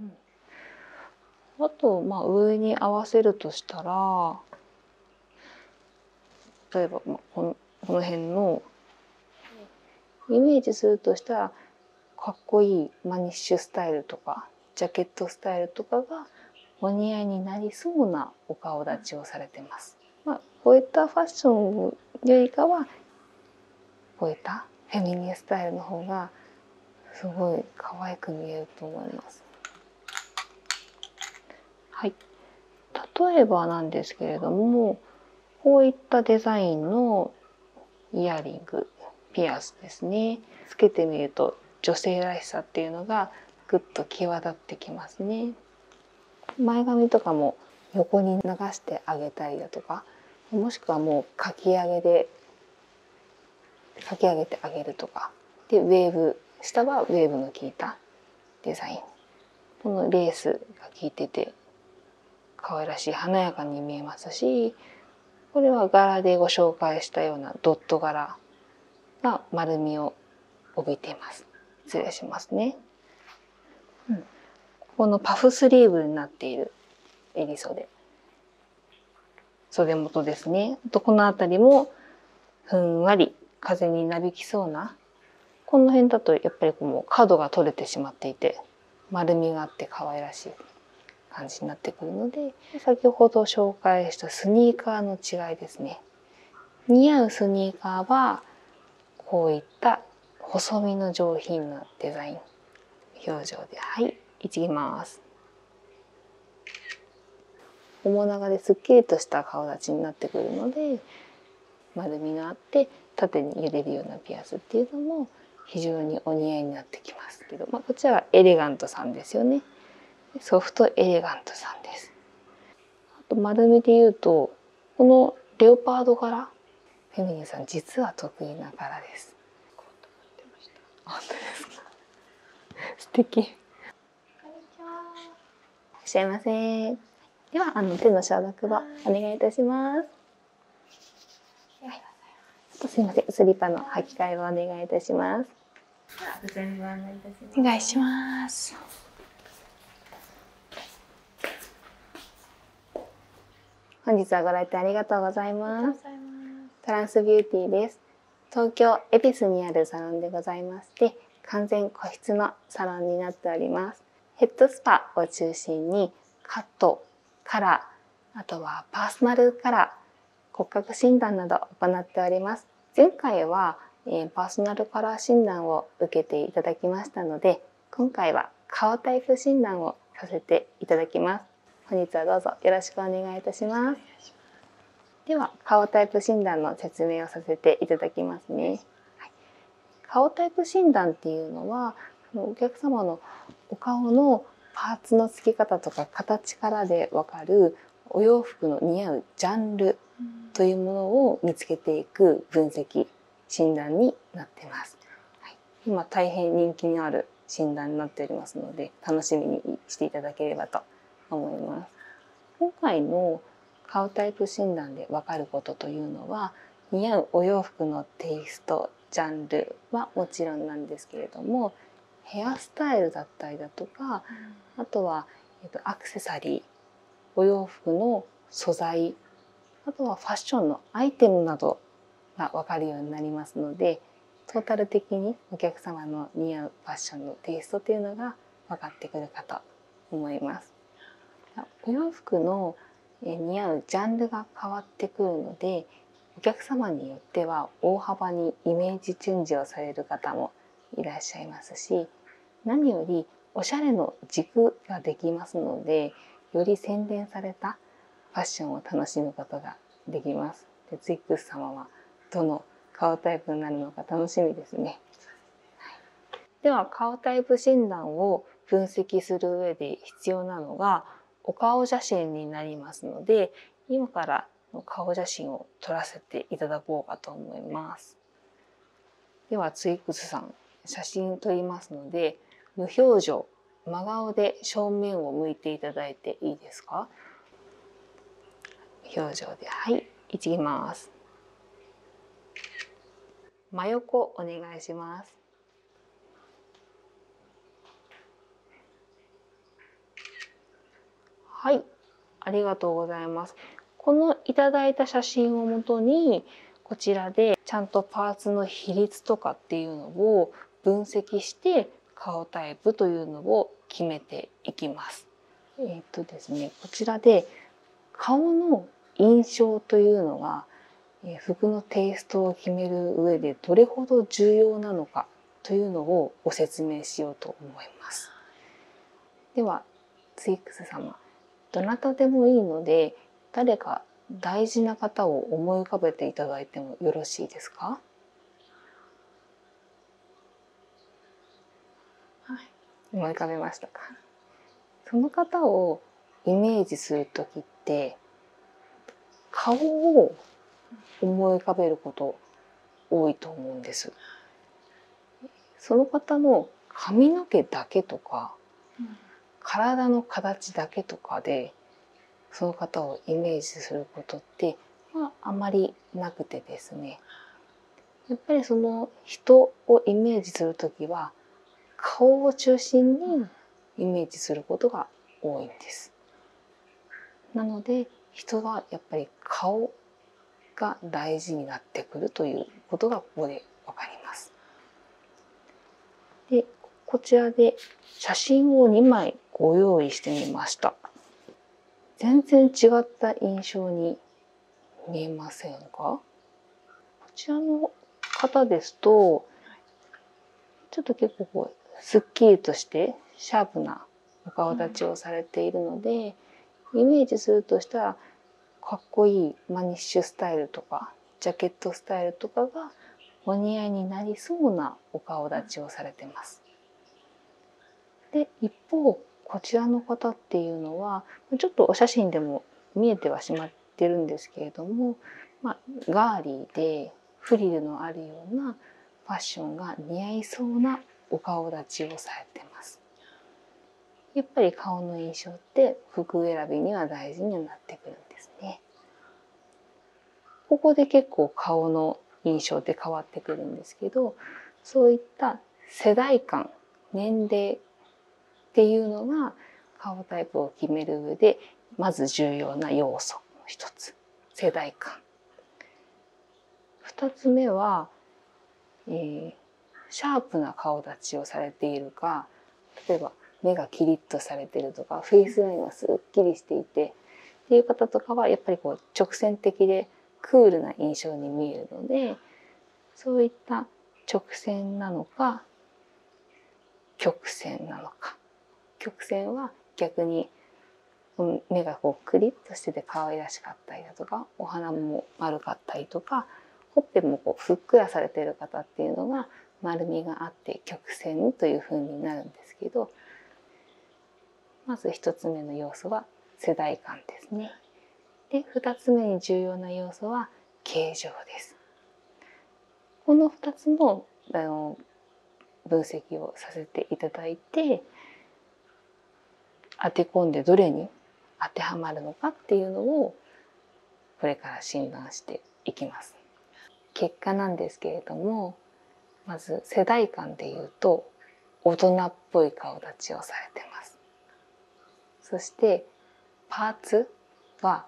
うん、あとま上に合わせるとしたら例えばこのこの辺のイメージするとしたらかっこいいマニッシュスタイルとかジャケットスタイルとかがお似合いになりそうなお顔立ちをされてます。まこういったファッションよりかは超えたフェミニースタイルの方がすごい可愛く見えると思います。はい、例えばなんですけれどもこういったデザインのイヤリングピアスですねつけてみると女性らしさっていうのがぐっと際立ってきますね。前髪とかも横に流してあげたりだとかもしくはもうかき上げでかき上げてあげるとかでウェーブ下はウェーブの効いたデザインこのレースが効いてて可愛らしい華やかに見えますしこれは柄でご紹介したようなドット柄が丸みを帯びています失礼しますね、うん、このパフスリーブになっている襟袖袖元ですね。とこの辺りもふんわり風になびきそうなこの辺だとやっぱりもう角が取れてしまっていて丸みがあって可愛らしい感じになってくるので先ほど紹介したスニーカーの違いですね。似合うスニーカーはこういった細身の上品なデザイン表情ではいいちます面長ですっきりとした顔立ちになってくるので丸みがあって縦に揺れるようなピアスっていうのも非常にお似合いになってきますけど、まこちらはエレガントさんですよねソフトエレガントさんですあと丸みで言うとこのレオパード柄フェミニンさん実は得意な柄です本当ですか素敵こんにちはいらっしゃいませではあの手の消毒をお願いいたしますすいませんスリッパの履き替えをお願いいたしますお願いします本日はご来店ありがとうございます。トランスビューティーです。東京恵比寿にあるサロンでございまして、完全個室のサロンになっております。ヘッドスパを中心にカット、カラー、あとはパーソナルカラー、骨格診断など行っております。前回は、えパーソナルカラー診断を受けていただきましたので、今回は顔タイプ診断をさせていただきます。本日はどうぞよろしくお願いいたします。では顔タイプ診断の説明をさせていただきますね。はい、顔タイプ診断っていうのはお客様のお顔のパーツの付き方とか形からで分かるお洋服の似合うジャンルというものを見つけていく分析診断になってます。はい、今大変人気のある診断になっておりますので楽しみにしていただければと思います。今回の顔タイプ診断で分かることというのは似合うお洋服のテイストジャンルはもちろんなんですけれどもヘアスタイルだったりだとかあとは、えっと、アクセサリーお洋服の素材あとはファッションのアイテムなどまあ、かるようになりますのでトータル的にお客様の似合うファッションのテイストというのが分かってくるかと思います。お洋服の似合うジャンルが変わってくるのでお客様によっては大幅にイメージチェンジをされる方もいらっしゃいますし何よりおしゃれの軸ができますのでより洗練されたファッションを楽しむことができます。でツイックス様はどの顔タイプになるのか楽しみですね。では顔タイプ診断を分析する上で必要なのがお顔写真になりますので今から顔写真を撮らせていただこうかと思います。ではツイックスさん写真撮りますので無表情真顔で正面を向いていただいていいですか表情ではいいちます真横お願いしますはいありがとうございますこのいただいた写真をもとにこちらでちゃんとパーツの比率とかっていうのを分析して顔タイプというのを決めていきます。えっとですね、こちらで顔の印象というのが服のテイストを決める上でどれほど重要なのかというのをご説明しようと思います。ではツイックス様どなたでもいいので誰大事な方を思い浮かべていただいてもよろしいですか、はい、思い浮かべましたかその方をイメージする時って顔を思い浮かべること多いと思うんです。その方の髪の毛だけとか、体の形だけとかでその方をイメージすることってまああまりなくてですねやっぱりその人をイメージする時は顔を中心にイメージすることが多いんです。なので人はやっぱり顔が大事になってくるということがここで分かります。でこちらで写真を2枚ご用意してみました全然違った印象に見えませんかこちらの方ですとちょっと結構こうすっきりとしてシャープなお顔立ちをされているので、イメージするとしたらかっこいいマニッシュスタイルとかジャケットスタイルとかがお似合いになりそうなお顔立ちをされてます。で一方こちらの方っていうのはちょっとお写真でも見えてはしまってるんですけれども、まあ、ーリーでフリルのあるようなファッションが似合いそうなお顔立ちをされてます。やっぱり顔の印象って服選びには大事になってくるんですね。ここで結構顔の印象って変わってくるんですけどそういった世代間年齢っていうのが顔タイプを決める上でまず重要な要素の一つ世代間。二つ目は、えー、シャープな顔立ちをされているか例えば目がキリッとされてるとかフェイスラインがすっきりしていてっていう方とかはやっぱりこう直線的でクールな印象に見えるのでそういった直線なのか曲線なのか曲線は逆に目がこうクリッとしてて可愛らしかったりだとかお花も丸かったりとかほっぺもこうふっくらされてる方っていうのが丸みがあって曲線というふうになるんですけどまず1つ目の要素は世代間ですね。で2つ目に重要な要素は形状です。この2つのの分析をさせていただいて当て込んでどれに当てはまるのかっていうのをこれから診断していきます。結果なんですけれどもまず世代間でいうと大人っぽい顔立ちをされてます。そしてパーツは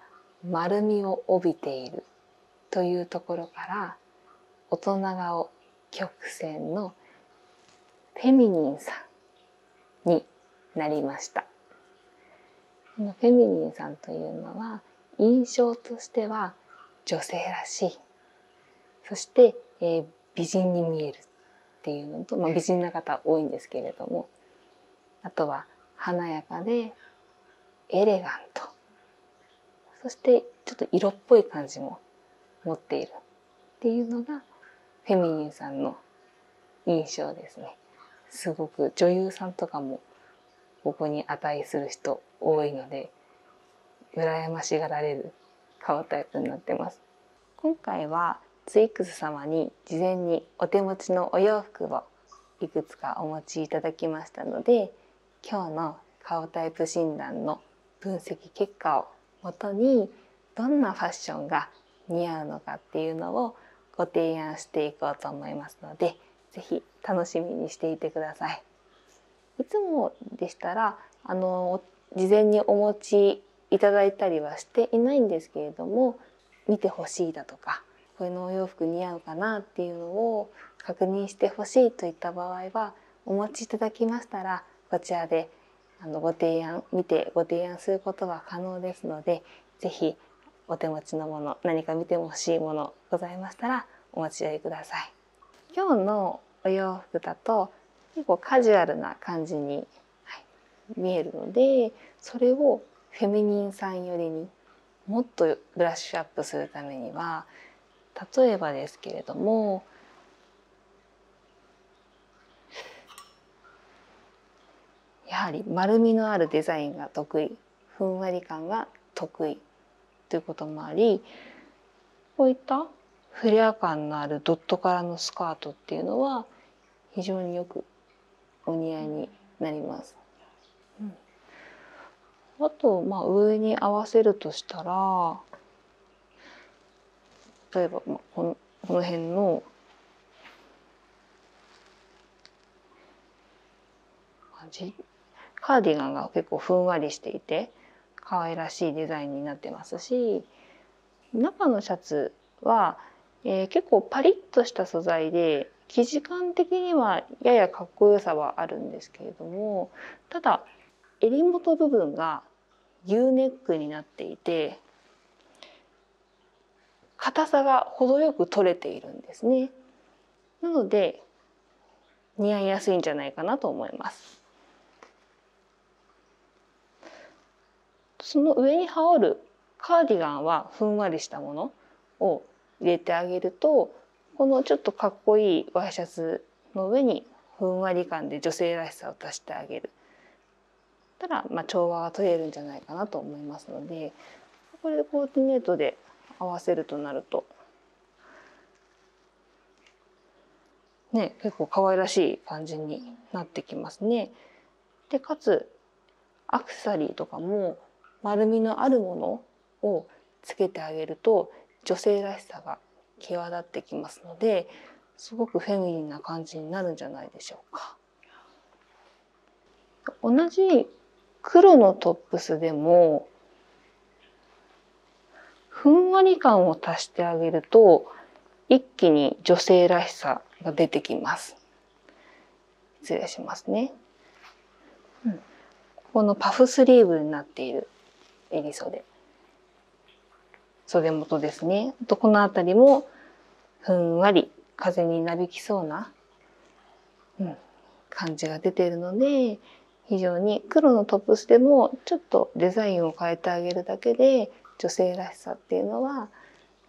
丸みを帯びているというところから大人顔曲線のフェミニンさんになりました。このフェミニンさんというのは印象としては女性らしいそして、え美人に見えるっていうのと、ま美人な方多いんですけれどもあとは華やかでエレガントそしてちょっと色っぽい感じも持っているっていうのがフェミニンさんの印象ですね。すごく女優さんとかもここに値する人多いので羨ましがられる顔タイプになってます今回はツイックス様に事前にお手持ちのお洋服をいくつかお持ちいただきましたので今日の顔タイプ診断の分析結果をもとにどんなファッションが似合うのかっていうのをご提案していこうと思いますので是非楽しみにしていてください。いつもでしたらあの事前にお持ちいただいたりはしていないんですけれども見てほしいだとかこれのお洋服似合うかなっていうのを確認してほしいといった場合はお持ちいただきましたらこちらであのご提案見てご提案することが可能ですので是非お手持ちのもの何か見てほしいものございましたらお持ちください今日のお洋服だと結構カジュアルな感じに、見えるのでそれをフェミニンさん寄りにもっとブラッシュアップするためには例えばですけれどもやはり丸みのあるデザインが得意ふんわり感が得意ということもありこういったフレア感のあるドット柄のスカートっていうのは非常によくお似合いになります。あと、まあ、上に合わせるとしたら例えば、まあ、このこの辺の感じカーディガンが結構ふんわりしていて可愛らしいデザインになってますし中のシャツは、え結構パリッとした素材で生地感的にはややかっこよさはあるんですけれどもただ襟元部分が U ネックになっていて硬さが程よく取れているんですね。なので似合いやすいんじゃないかなと思います。その上に羽織るカーディガンはふんわりしたものを入れてあげるとこのちょっとかっこいいワイシャツの上にふんわり感で女性らしさを足してあげるたら、ま調和が取れるんじゃないかなと思いますのでこれでコーディネートで合わせるとなるとね、結構可愛らしい感じになってきますね。でかつアクセサリーとかも丸みのあるものをつけてあげると女性らしさが際立ってきますのですごくフェミニンな感じになるんじゃないでしょうか。同じ黒のトップスでもふんわり感を足してあげると一気に女性らしさが出てきます失礼しますね、うん、このパフスリーブになっている襟袖袖元ですねとこの辺りもふんわり風になびきそうな、うん、感じが出ているので非常に黒のトップスでもちょっとデザインを変えてあげるだけで女性らしさっていうのは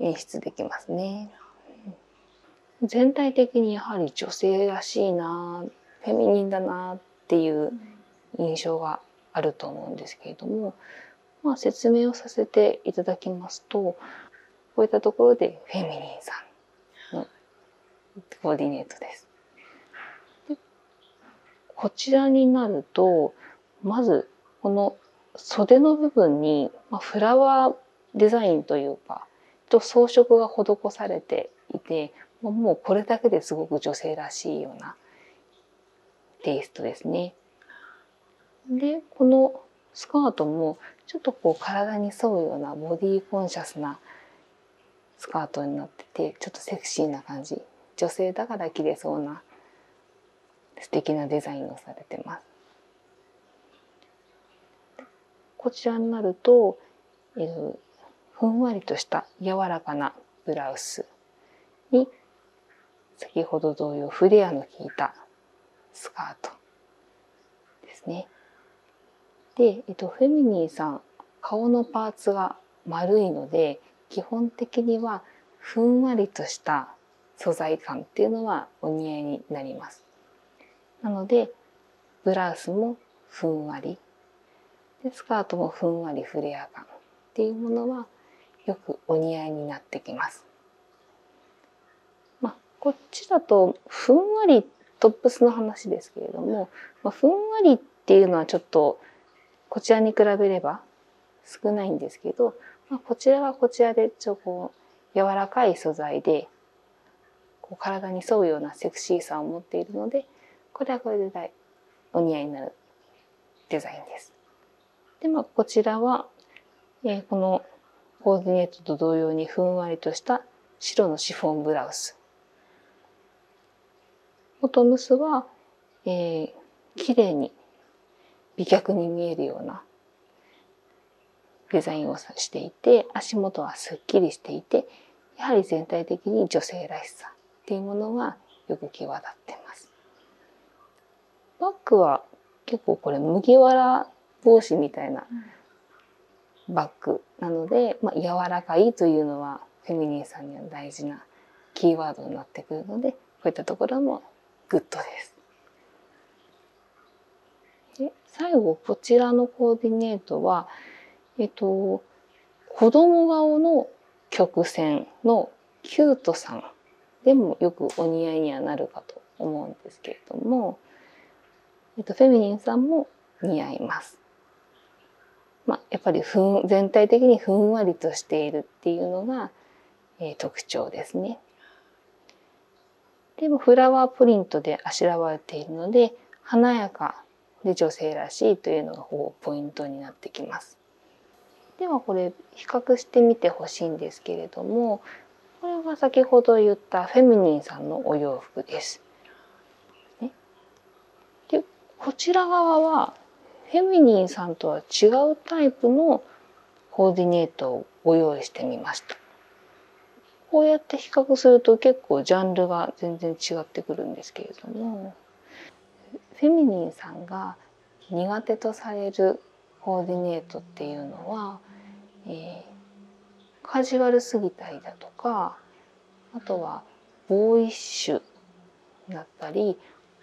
演出できますね。全体的にやはり女性らしいなフェミニンだなっていう印象があると思うんですけれども、ま説明をさせていただきますとこういったところでフェミニンさんのコーディネートです。でこちらになるとまずこの袖の部分に、まフラワーデザインというかと装飾が施されていてもうこれだけですごく女性らしいようなテイストですね。でこのスカートもちょっとこう体に沿うようなボディーコンシャスなスカートになっててちょっとセクシーな感じ女性だから着れそうな素敵なデザインをされてます。こちらになると、えー、ふんわりとした柔らかなブラウスに先ほど同様フレアの効いたスカートですね。で、えっと、フェミニーさん顔のパーツが丸いので基本的にはふんわりとした素材感っていうのはお似合いになります。なのでブラウスもふんわりでスカートもふんわりフレア感っていうものはよくお似合いになってきます。まあ、こっちだとふんわりっトップスの話ですけれども、まふんわりっていうのはちょっとこちらに比べれば少ないんですけど、まこちらはこちらでちょっとこう柔らかい素材でこう体に沿うようなセクシーさを持っているのでこれはこれで大お似合いになるデザインです。でまあ、こちらは、えこのコーディネートと同様にふんわりとした白のシフォンブラウストムスは、えー、綺麗に美脚に見えるようなデザインをしていて足元はすっきりしていてやはり全体的に女性らしさっていうものがよく際立ってます。バッグは結構これ麦わら帽子みたいなバッグなので、まあ、柔らかいというのはフェミニンさんには大事なキーワードになってくるのでこういったところもグッドです。で最後こちらのコーディネートは、えっと、子供顔の曲線のキュートさんでもよくお似合いにはなるかと思うんですけれどもえっと、フェミニンさんも似合います。まやっぱりふん全体的にふんわりとしているっていうのが、え特徴ですね。でもフラワープリントであしらわれているので華やかで女性らしいというのがこうポイントになってきます。ではこれ比較してみてほしいんですけれどもこれは先ほど言ったフェミニンさんのお洋服です。でこちら側はフェミニンさんとは違うタイプのコーディネートをご用意してみました。こうやって比較すると結構ジャンルが全然違ってくるんですけれどもフェミニンさんが苦手とされるコーディネートっていうのは、えカジュアルすぎたりだとかあとはボーイッシュだったり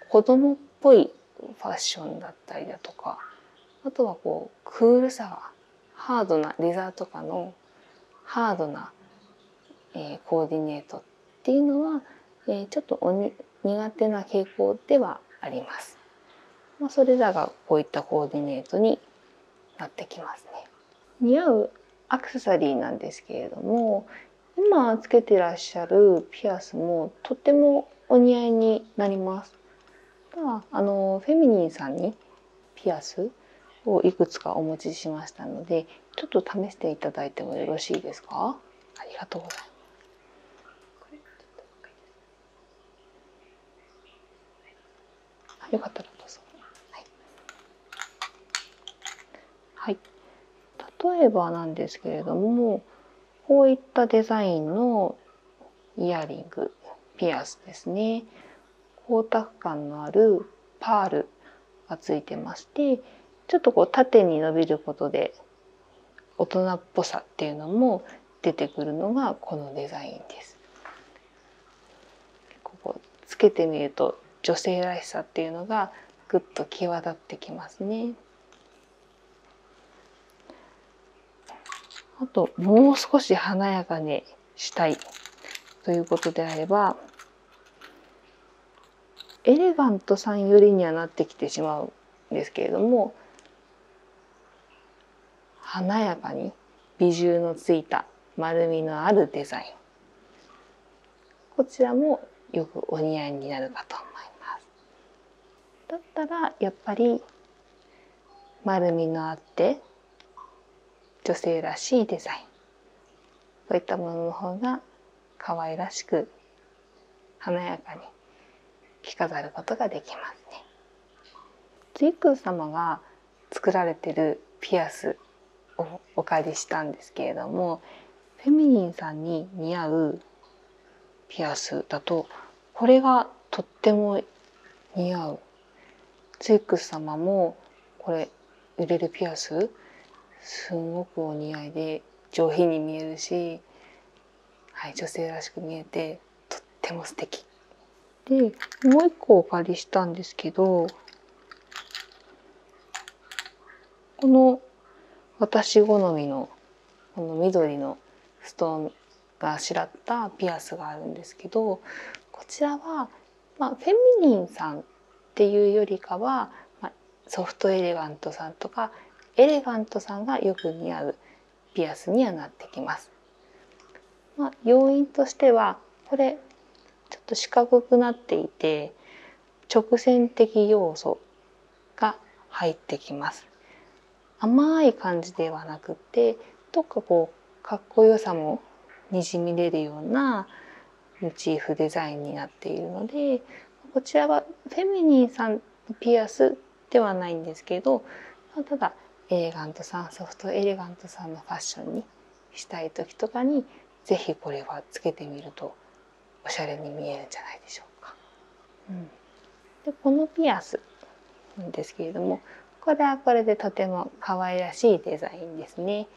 子供っぽいファッションだったりだとかあとはこうクールさがハードなレザーとかのハードな、えコーディネートっていうのは、えちょっと苦手な傾向ではあります。まそれらがこういったコーディネートになってきますね。似合うアクセサリーなんですけれども今つけてらっしゃるピアスもとってもお似合いになります。ただあのフェミニンさんにピアスをいくつかお持ちしましたのでちょっと試していただいてもよろしいですかありがとうございよかったらどうぞ。はい、例えばなんですけれどもこういったデザインのイヤリングピアスですね光沢感のあるパールがついてましてちょっとこう縦に伸びることで大人っぽさっていうのも出てくるのがこのデザインです。ここつけてみると女性らしさっていうのがぐっと際立ってきますね。あともう少し華やかにしたいということであればエレガントさん寄りにはなってきてしまうんですけれども華やかに美汁のついた丸みのあるデザインこちらもよくお似合いになるかと思いますだったらやっぱり丸みのあって女性らしいデザインそういったものの方が可愛らしく華やかに着飾ることができますね。ツイッ様が作られてるピアスをお借りしたんですけれどもフェミニンさんに似合うピアスだとこれがとっても似合う。ツイックス様もこれ売れるピアスすごくお似合いで上品に見えるし、はい、女性らしく見えてとっても素敵でもう一個お借りしたんですけどこの私好みのこの緑の布団があしらったピアスがあるんですけどこちらは、まフェミニンさんっていうよりかは、まソフトエレガントさんとかエレガントさんがよく似合うピアスにはなってきます。ま要因としてはこれちょっと四角くなっていて直線的要素が入ってきます。甘い感じではなくてどっかこうかっこよさもにじみ出るようなモチーフデザインになっているのでこちらはフェミニンさんのピアスではないんですけどただエレガントさんソフトエレガントさんのファッションにしたい時とかにぜひこれはつけてみるとおしゃれに見えるんじゃないでしょうか。うん、でこのピアスなんですけれどもこれはこれでとても可愛らしいデザインですね。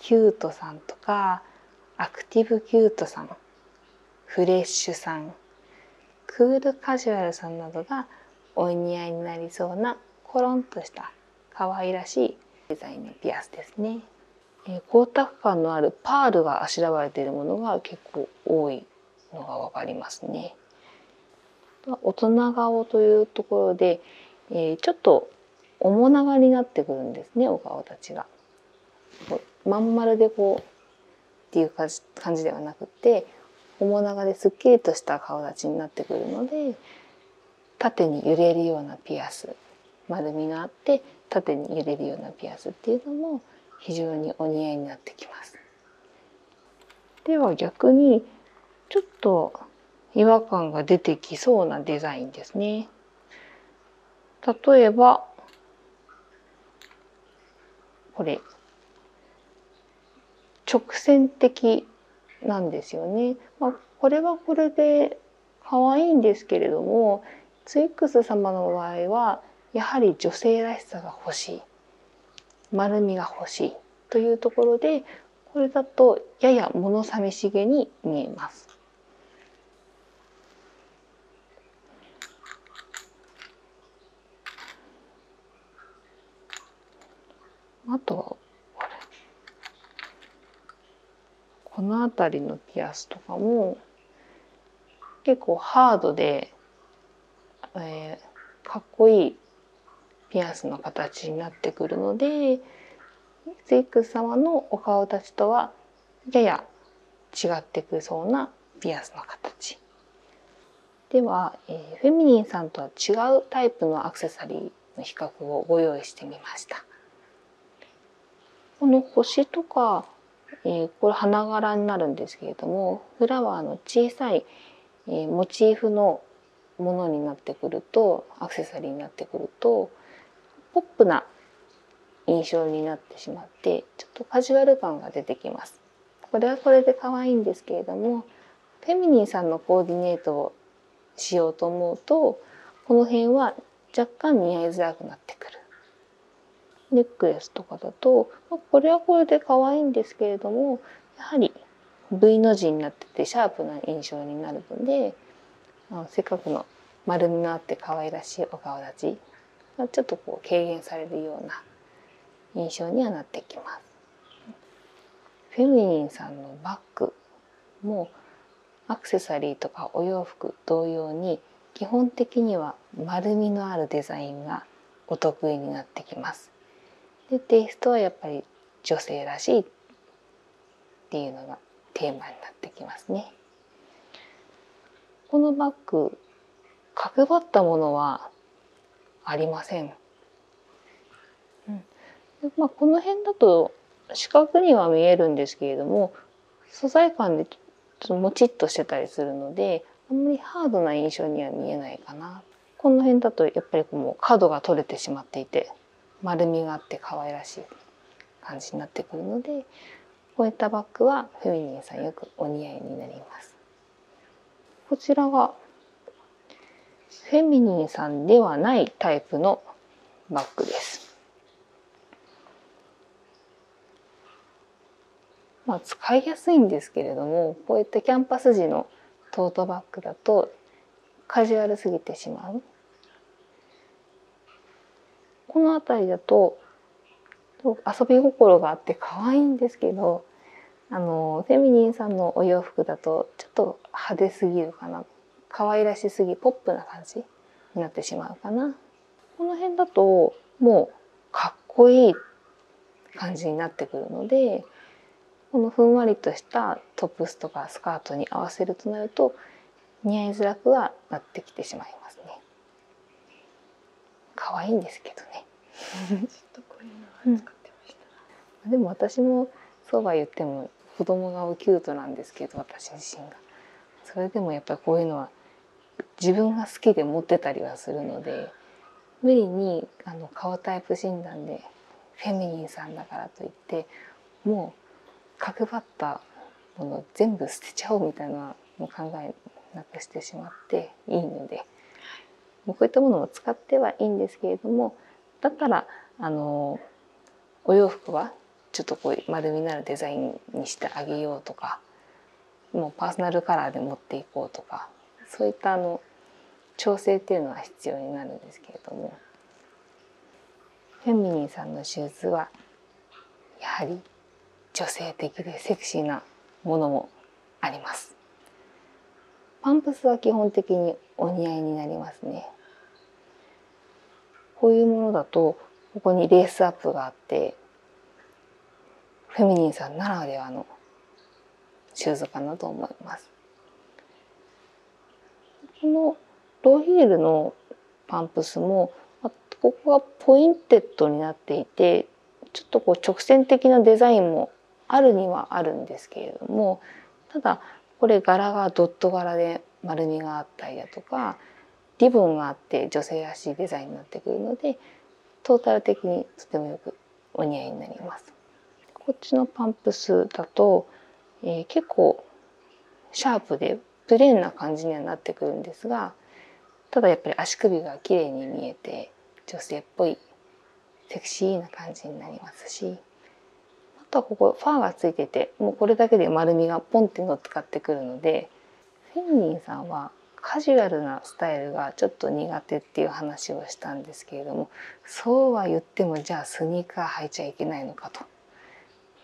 キュートさんとかアクティブキュートさんフレッシュさんクールカジュアルさんなどがお似合いになりそうなコロンとした可愛らしいデザインのピアスですね。え光沢感のあるパールがあしらわれているものが結構多いのが分かりますね。大人顔というところで、えちょっと面長になってくるんですねお顔たちが。まん丸でこうっていう感じ感じではなくて面長ですっきりとした顔立ちになってくるので縦に揺れるようなピアス丸みがあって縦に揺れるようなピアスっていうのも非常にお似合いになってきます。では逆にちょっと違和感が出てきそうなデザインですね。例えばこれ直線的なんですよね。まあ、これはこれで可愛いんですけれどもツイックス様の場合はやはり女性らしさが欲しい丸みが欲しいというところでこれだとやや物寂しげに見えます。あとこの辺りのピアスとかも結構ハードで、えかっこいいピアスの形になってくるのでゼイク様のお顔たちとはやや違ってくそうなピアスの形では、えフェミニンさんとは違うタイプのアクセサリーの比較をご用意してみました。この星とか、えこれ花柄になるんですけれどもフラワーの小さい、えモチーフのものになってくるとアクセサリーになってくるとポップな印象になってしまってちょっとカジュアル感が出てきます。これはこれで可愛いんですけれどもフェミニンさんのコーディネートをしようと思うとこの辺は若干似合いづらくなってくる。ネックレスとかだと、まこれはこれで可愛いんですけれどもやはり V の字になっててシャープな印象になるのであのせっかくの丸みのあって可愛らしいお顔立ちがちょっとこう軽減されるような印象にはなってきます。フェミニンさんのバッグもうアクセサリーとかお洋服同様に基本的には丸みのあるデザインがお得意になってきます。でテイストはやっぱり女性らしいっていうのがテーマになってきますね。このバッグ角張ったものはありません。うん、まあ、この辺だと四角には見えるんですけれども素材感でちょっともちっとしてたりするのであんまりハードな印象には見えないかな。この辺だとやっぱりもう角が取れてしまっていて丸みがあって可愛らしい感じになってくるのでこういったバッグはフェミニンさんよくお似合いになります。こちらがフェミニンさんではないタイプのバッグです。まあ、使いやすいんですけれどもこうやってキャンパス時のトートバッグだとカジュアルすぎてしまう。この辺りだと遊び心があって可愛いんですけどあのフェミニンさんのお洋服だとちょっと派手すぎるかな可愛らしすぎポップな感じになってしまうかな。この辺だともうかっこいい感じになってくるのでこのふんわりとしたトップスとかスカートに合わせるとなると似合いづらくはなってきてしまいますね。可愛いんですけどね。でも私もそうは言っても子供がキュートなんですけど私自身が。それでもやっぱりこういうのは自分が好きで持ってたりはするので無理にあの顔タイプ診断でフェミニンさんだからといってもう角張ったもの全部捨てちゃおうみたいなの考えなくしてしまっていいので、はい、こういったものも使ってはいいんですけれどもだったらあのお洋服はちょっとこう丸みのあるデザインにしてあげようとかもうパーソナルカラーで持っていこうとかそういったあの調整っていうのは必要になるんですけれどもフェミニンさんのシューズはやはり女性的でセクシーなものもあります。パンプスは基本的にお似合いになりますね。こういうものだとここにレースアップがあってフェミニンさんならではのシューズかなと思います。このローヒールのパンプスもここがポインテッドになっていてちょっとこう直線的なデザインもあるにはあるんですけれどもただこれ柄がドット柄で丸みがあったりだとかリボンがあって女性らしいデザインになってくるのでトータル的にとてもよくお似合いになります。こっちのパンプスだと、えー、結構シャープでプレーンな感じにはなってくるんですがただやっぱり足首が綺麗に見えて女性っぽいセクシーな感じになりますしあとはここファーがついててもうこれだけで丸みがポンっていうのを使ってくるのでフェンリンさんはカジュアルなスタイルがちょっと苦手っていう話をしたんですけれどもそうは言ってもじゃあスニーカー履いちゃいけないのかと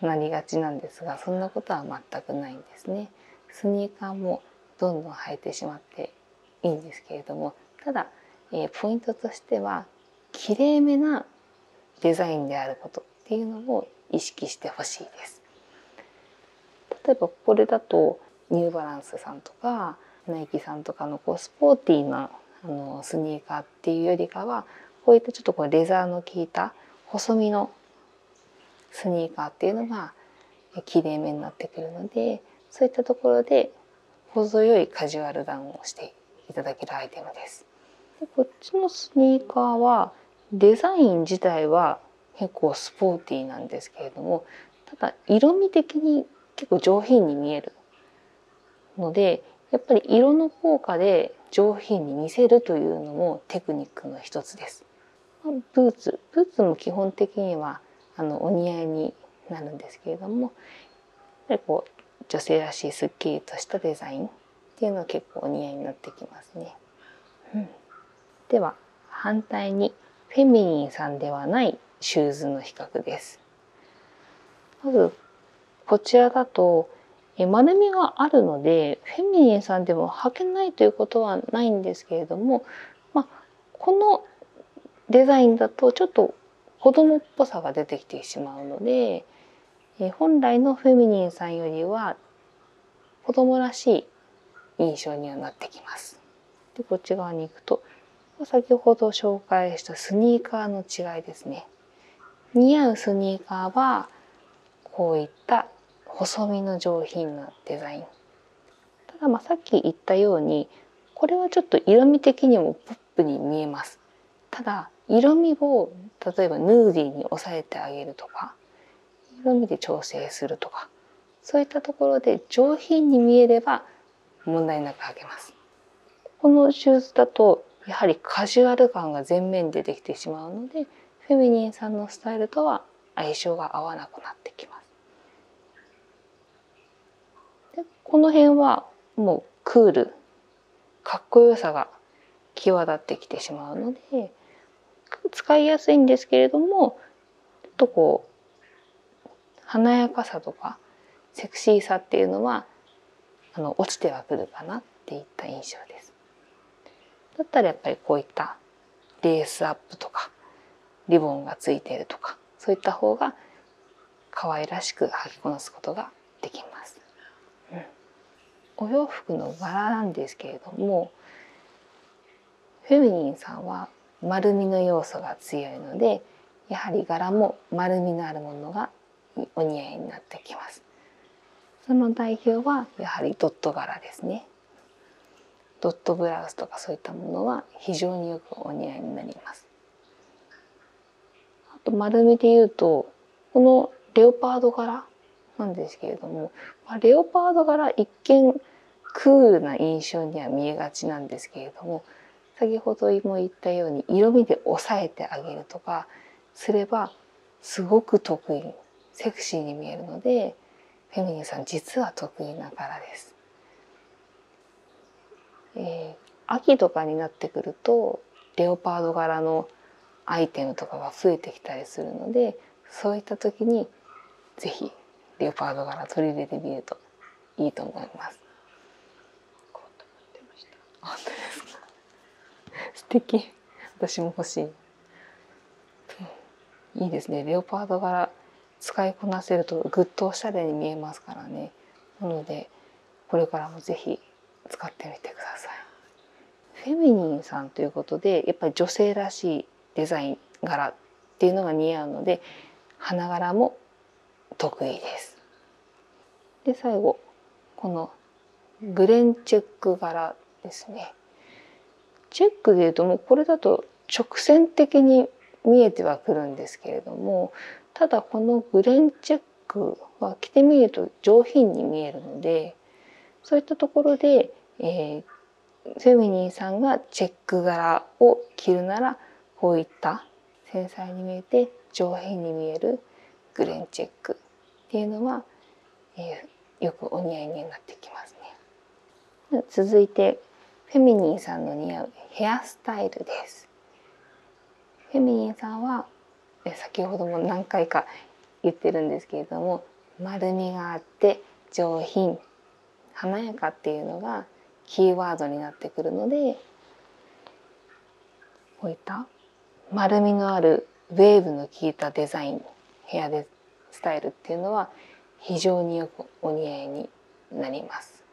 なりがちなんですがそんなことは全くないんですね。スニーカーもどんどん履いてしまっていいんですけれどもただ、えポイントとしてはきれめなデザインであることっていうのを意識してほしいです。例えばこれだとニューバランスさんとかナイキさんとかのこうスポーティーなあのスニーカーっていうよりかはこういったちょっとこうレザーの効いた細身のスニーカーっていうのがきれいめになってくるのでそういったところで程よいカジュアルダウンをしていただけるアイテムです。でこっちのスニーカーはデザイン自体は結構スポーティーなんですけれどもただ色味的に結構上品に見えるのでやっぱり色の効果で上品に見せるというのもテクニックの一つです。ブーツブーツも基本的にはあのお似合いになるんですけれどもぱこう女性らしいすっきりとしたデザインっていうのは結構お似合いになってきますね。うん、では反対にフェミニンさんではないシューズの比較です。まずこちらだと丸みがあるのでフェミニンさんでも履けないということはないんですけれども、まこのデザインだとちょっと子供っぽさが出てきてしまうので、え本来のフェミニンさんよりは子供らしい印象にはなってきます。でこっち側に行くと先ほど紹介したスニーカーの違いですね。似合うスニーカーはこういった細身の上品なデザイン。ただまあさっき言ったようにこれはちょっと色味的にもポッップに見えますただ色味を例えばヌーディーに抑えてあげるとか色味で調整するとかそういったところで上品に見えれば問題なく履けますこのシューズだとやはりカジュアル感が全面でできてしまうのでフェミニンさんのスタイルとは相性が合わなくなってきますでこの辺はもうクールかっこよさが際立ってきてしまうので使いやすいんですけれどもちょっとこう華やかさとかセクシーさっていうのはあの落ちてはくるかなっていった印象です。だったらやっぱりこういったレースアップとかリボンがついているとかそういった方が可愛らしく履きこなすことができます、うん、お洋服の柄なんですけれどもフェミニンさんは丸みの要素が強いのでやはり柄も丸みのあるものがお似合いになってきますその代表はやはりドット柄ですねドットブラウスとかそういったものは非常によくお似合いになりますあと丸めて言うとこのレオパード柄なんですけれども、レオパード柄一見クールな印象には見えがちなんですけれども先ほども言ったように色味で押さえてあげるとかすればすごく得意セクシーに見えるのでフェミニンさん実は得意な柄です。え秋とかになってくるとレオパード柄のアイテムとかが増えてきたりするのでそういった時に是非レオパード柄取り入れてみるといいと思います。素敵私も欲しい、いいですねレオパード柄使いこなせるとぐっとおしゃれに見えますからねなのでこれからも是非使ってみてください。フェミニンさんということでやっぱり女性らしいデザイン柄っていうのが似合うので花柄も得意です。で最後このグレンチェック柄ですね。チェックでいうともうこれだと直線的に見えてはくるんですけれどもただこのグレンチェッく、ま着てみると上品に見えるのでそういったところで、えフェミニンさんがチェック柄を着るならこういった繊細に見えて上品に見えるグレンチェックっていうのは、えよくお似合いになってきますね。続いてフェミニンさんの似合うヘアスタイルです。。フェミニンさんは先ほども何回か言ってるんですけれども丸みがあって上品華やかっていうのがキーワードになってくるのでこういった丸みのあるウェーブの効いたデザイン部屋でスタイルっていうのは非常によくお似合いになります。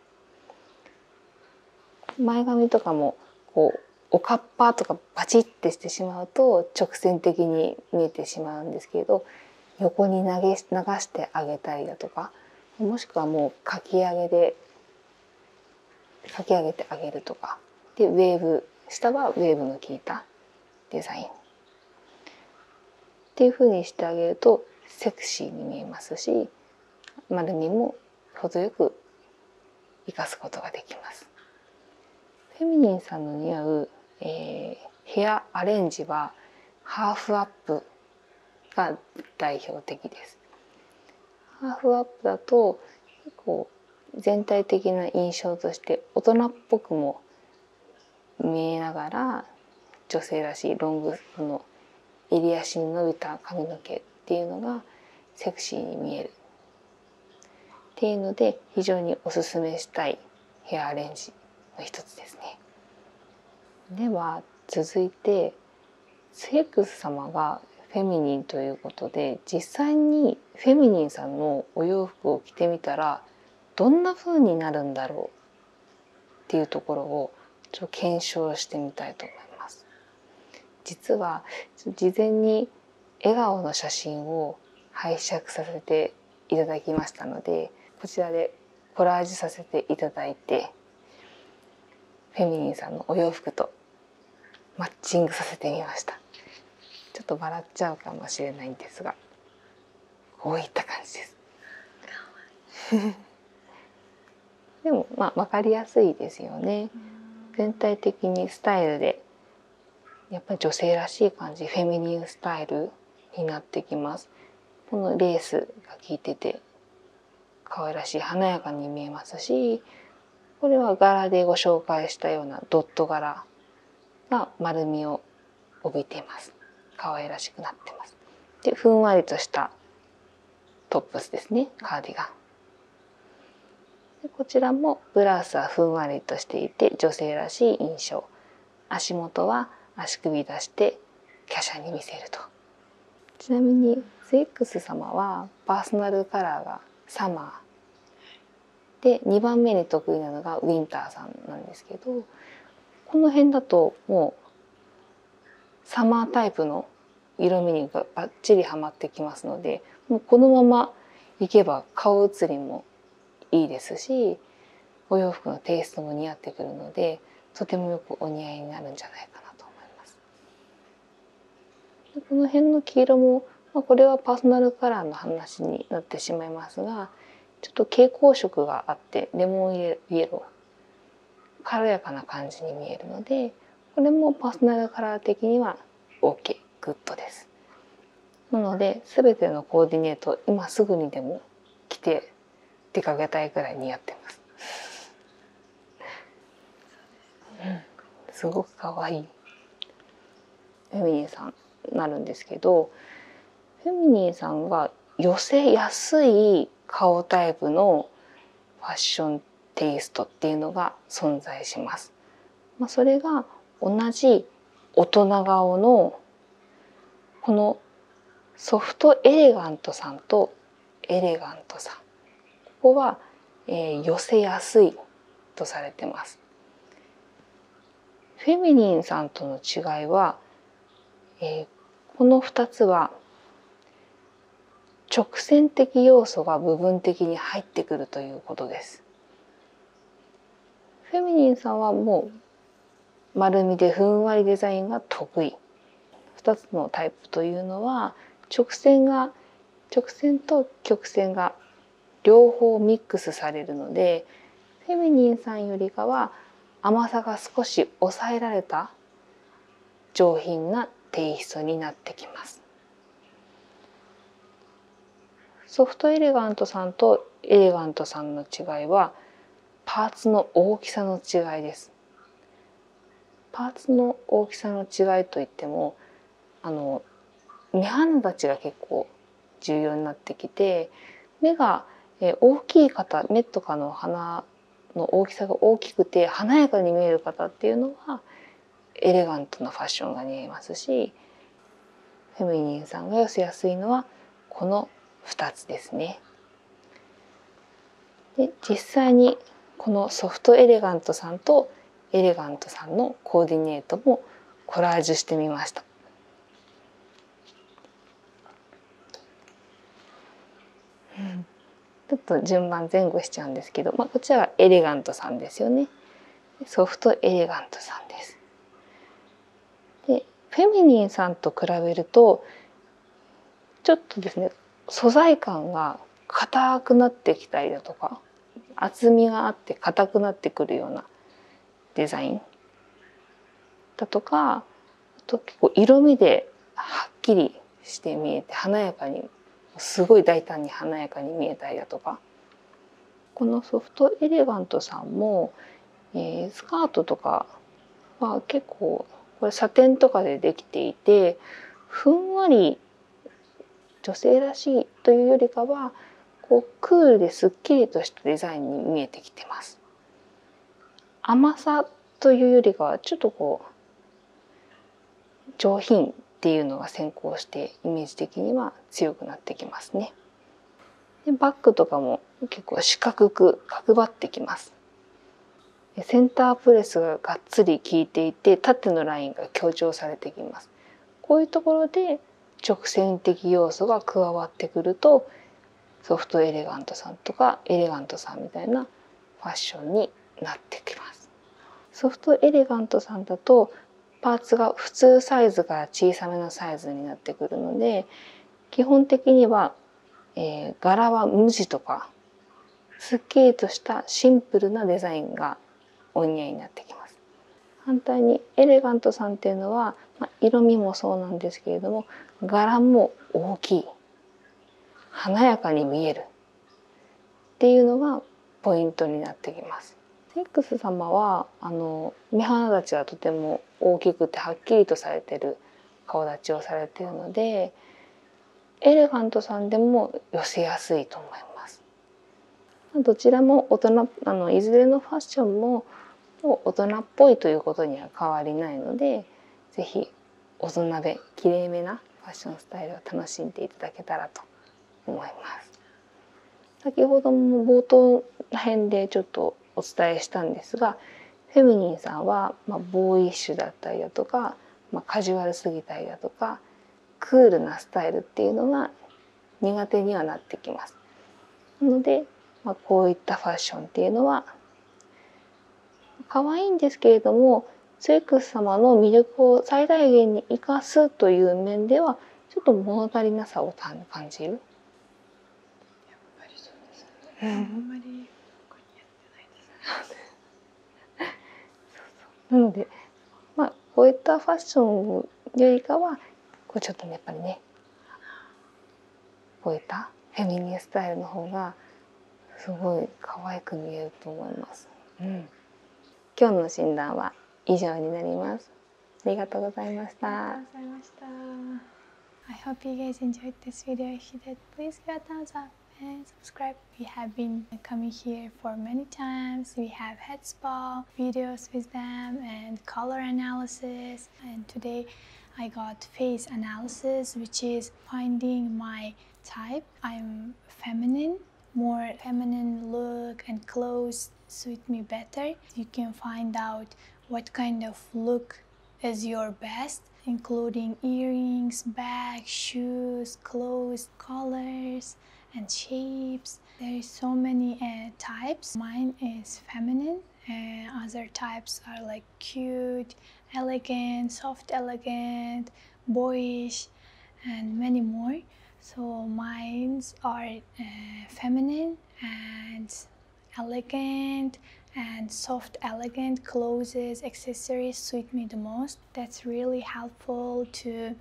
前髪とかもこうおかっぱとかバチってしてしまうと直線的に見えてしまうんですけれど横に投げ流してあげたりだとかもしくはもうかき上げでかき上げてあげるとかでウェーブ下はウェーブの効いたデザインっていうふうにしてあげるとセクシーに見えますし丸にも程よく生かすことができます。フェミニンさんの似合う、えヘアアレンジはハーフアップが代表的です。ハーフアップだと結構全体的な印象として大人っぽくも見えながら女性らしいロングの襟足に伸びた髪の毛っていうのがセクシーに見えるっていうので非常におすすめしたいヘアアレンジの一つですね。では続いてセックス様がフェミニンということで実際にフェミニンさんのお洋服を着てみたらどんな風になるんだろうっていうところをちょっと検証してみたいと思います。実は事前に笑顔の写真を拝借させていただきましたのでこちらでコラージュさせていただいてフェミニンさんのお洋服とマッチングさせてみましたちょっと笑っちゃうかもしれないんですがこういった感じですでもま分かりやすいですよね。全体的にスタイルでやっぱり女性らしい感じフェミニンスタイルになってきます。このレースが効いてて可愛らしい華やかに見えますしこれは柄でご紹介したようなドット柄が丸みを帯びてます。可愛らしくなってます。でふんわりとしたトップスですねカーディガンこちらもブラウスはふんわりとしていて女性らしい印象足元は足首出して華奢に見せるとちなみにスエックス様はパーソナルカラーがサマーで2番目に得意なのがウィンターさんなんですけどこの辺だともうサマータイプの色味にばっちりはまってきますのでもうこのままいけば顔写りもいいですしお洋服のテイストも似合ってくるのでとてもよくお似合いになるんじゃないかなと思います。この辺の黄色も、まこれはパーソナルカラーの話になってしまいますがちょっと蛍光色があってレモンイエロー軽やかな感じに見えるのでこれもパーソナルカラー的には OK グッドですなので全てのコーディネート今すぐにでも着て出かけたいくらい似合ってます、すごく可愛いフェミニンさんなるんですけどフェミニンさんは寄せやすい顔タイプのファッションテイストっていうのが存在します。まそれが同じ大人顔のこのソフトエレガントさんとエレガントさんここは、え寄せやすいとされてます。フェミニンさんとの違いは、えこの2つは直線的要素が部分的に入ってくるということです。フェミニンさんはもう丸みでふんわりデザインが得意。2つのタイプというのは直線が直線と曲線が両方ミックスされるのでフェミニンさんよりかは甘さが少し抑えられた上品なテイストになってきます。ソフトエレガントさんとエレガントさんの違いはパーツの大きさの違いですパーツの大きさの違いといってもあの目鼻立ちが結構重要になってきて目が大きい方目とかの鼻の大きさが大きくて華やかに見える方っていうのはエレガントなファッションが似合いますしフェミニンさんが寄せやすいのはこの2つですね。で実際にこのソフトエレガントさんとエレガントさんのコーディネートもコラージュしてみました。うん、ちょっと順番前後しちゃうんですけど、まあ、こちらはエレガントさんですよねソフトエレガントさんですでフェミニンさんと比べるとちょっとですね素材感が硬くなってきたりだとか厚みがあって硬くなってくるようなデザインだとかと結構色味ではっきりして見えて華やかにすごい大胆に華やかに見えたりだとかこのソフトエレガントさんも、えスカートとかは結構これサテンとかでできていてふんわり女性らしいというよりかはこうクールですっきりとしたデザインに見えてきてます。甘さというよりかはちょっとこう上品っていうのが先行してイメージ的には強くなってきますね。でバッグとかも結構四角く角張ってきます。センタープレスががっつり効いていて縦のラインが強調されてきます。こういうところで直線的要素が加わってくるとソフトエレガントさんとかエレガントさんみたいなファッションになってきますソフトエレガントさんだとパーツが普通サイズから小さめのサイズになってくるので基本的には、え柄は無地とかすっきりとしたシンプルなデザインがお似合いになってきます反対にエレガントさんっていうのは、ま色味もそうなんですけれども柄も大きい華やかに見えるっていうのがポイントになってきます。セックス様はあの目鼻立ちがとても大きくてはっきりとされてる顔立ちをされてるのでエレファントさんでも寄せやすいと思います。どちらも大人あのいずれのファッションも大人っぽいということには変わりないので是非大人で。きれいめなファッションスタイルを楽しんでいただけたらと思います。先ほども冒頭ら辺でちょっとお伝えしたんですがフェミニンさんは、まボーイッシュだったりだとか、まカジュアルすぎたりだとかクールなスタイルっていうのが苦手にはなってきます。なので、まこういったファッションっていうのは可愛いんですけれどもツェク様の魅力を最大限に生かすという面ではちょっと物足りなさを感じる。うん、で ので、まあこういったファッションよりかはこうちょっと、やっぱりね、こういったフェミニスタイルの方がすごい可愛く見えると思います。うん。今日の診断は以上になります。ありがとうございました。ありがとうございました。I hope you guys enjoyed this video. If you did, please give a thumbs up and subscribe. We have been coming here for many times. We have head spa videos with them and color analysis. And today I got face analysis, which is finding my type. I'm feminine more feminine look and clothes suit me better. You can find out what kind of look is your best, including earrings, bag, shoes, clothes, colors, and shapes. There is so many uh, types. Mine is feminine. Uh, other types are like cute, elegant, soft elegant, boyish and many more so mines are uh, feminine and elegant and soft elegant clothes accessories suit me the most that's really helpful to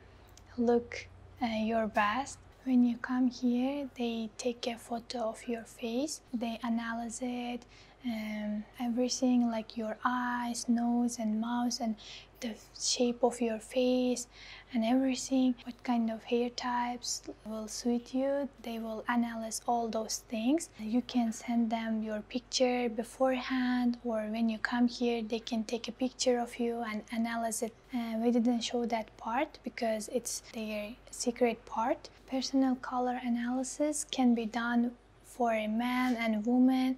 look uh, your best when you come here they take a photo of your face they analyze it um, everything like your eyes nose and mouth and the shape of your face and everything what kind of hair types will suit you they will analyze all those things you can send them your picture beforehand or when you come here they can take a picture of you and analyze it we didn't show that part because it's their secret part personal color analysis can be done for a man and woman,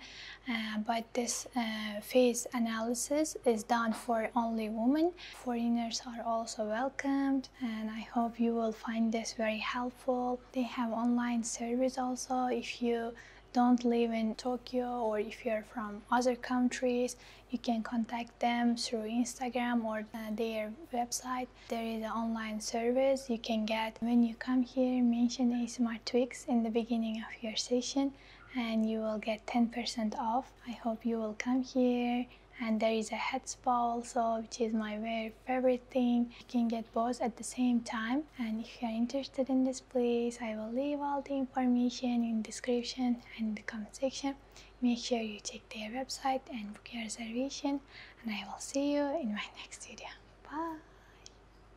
uh, but this face uh, analysis is done for only women. Foreigners are also welcomed, and I hope you will find this very helpful. They have online service also if you don't live in Tokyo or if you're from other countries, you can contact them through Instagram or uh, their website. There is an online service you can get when you come here. Mention a Smart in the beginning of your session and you will get 10% off. I hope you will come here and there is a head spa also which is my very favorite thing you can get both at the same time and if you are interested in this place i will leave all the information in description and the comment section make sure you check their website and book your reservation and i will see you in my next video bye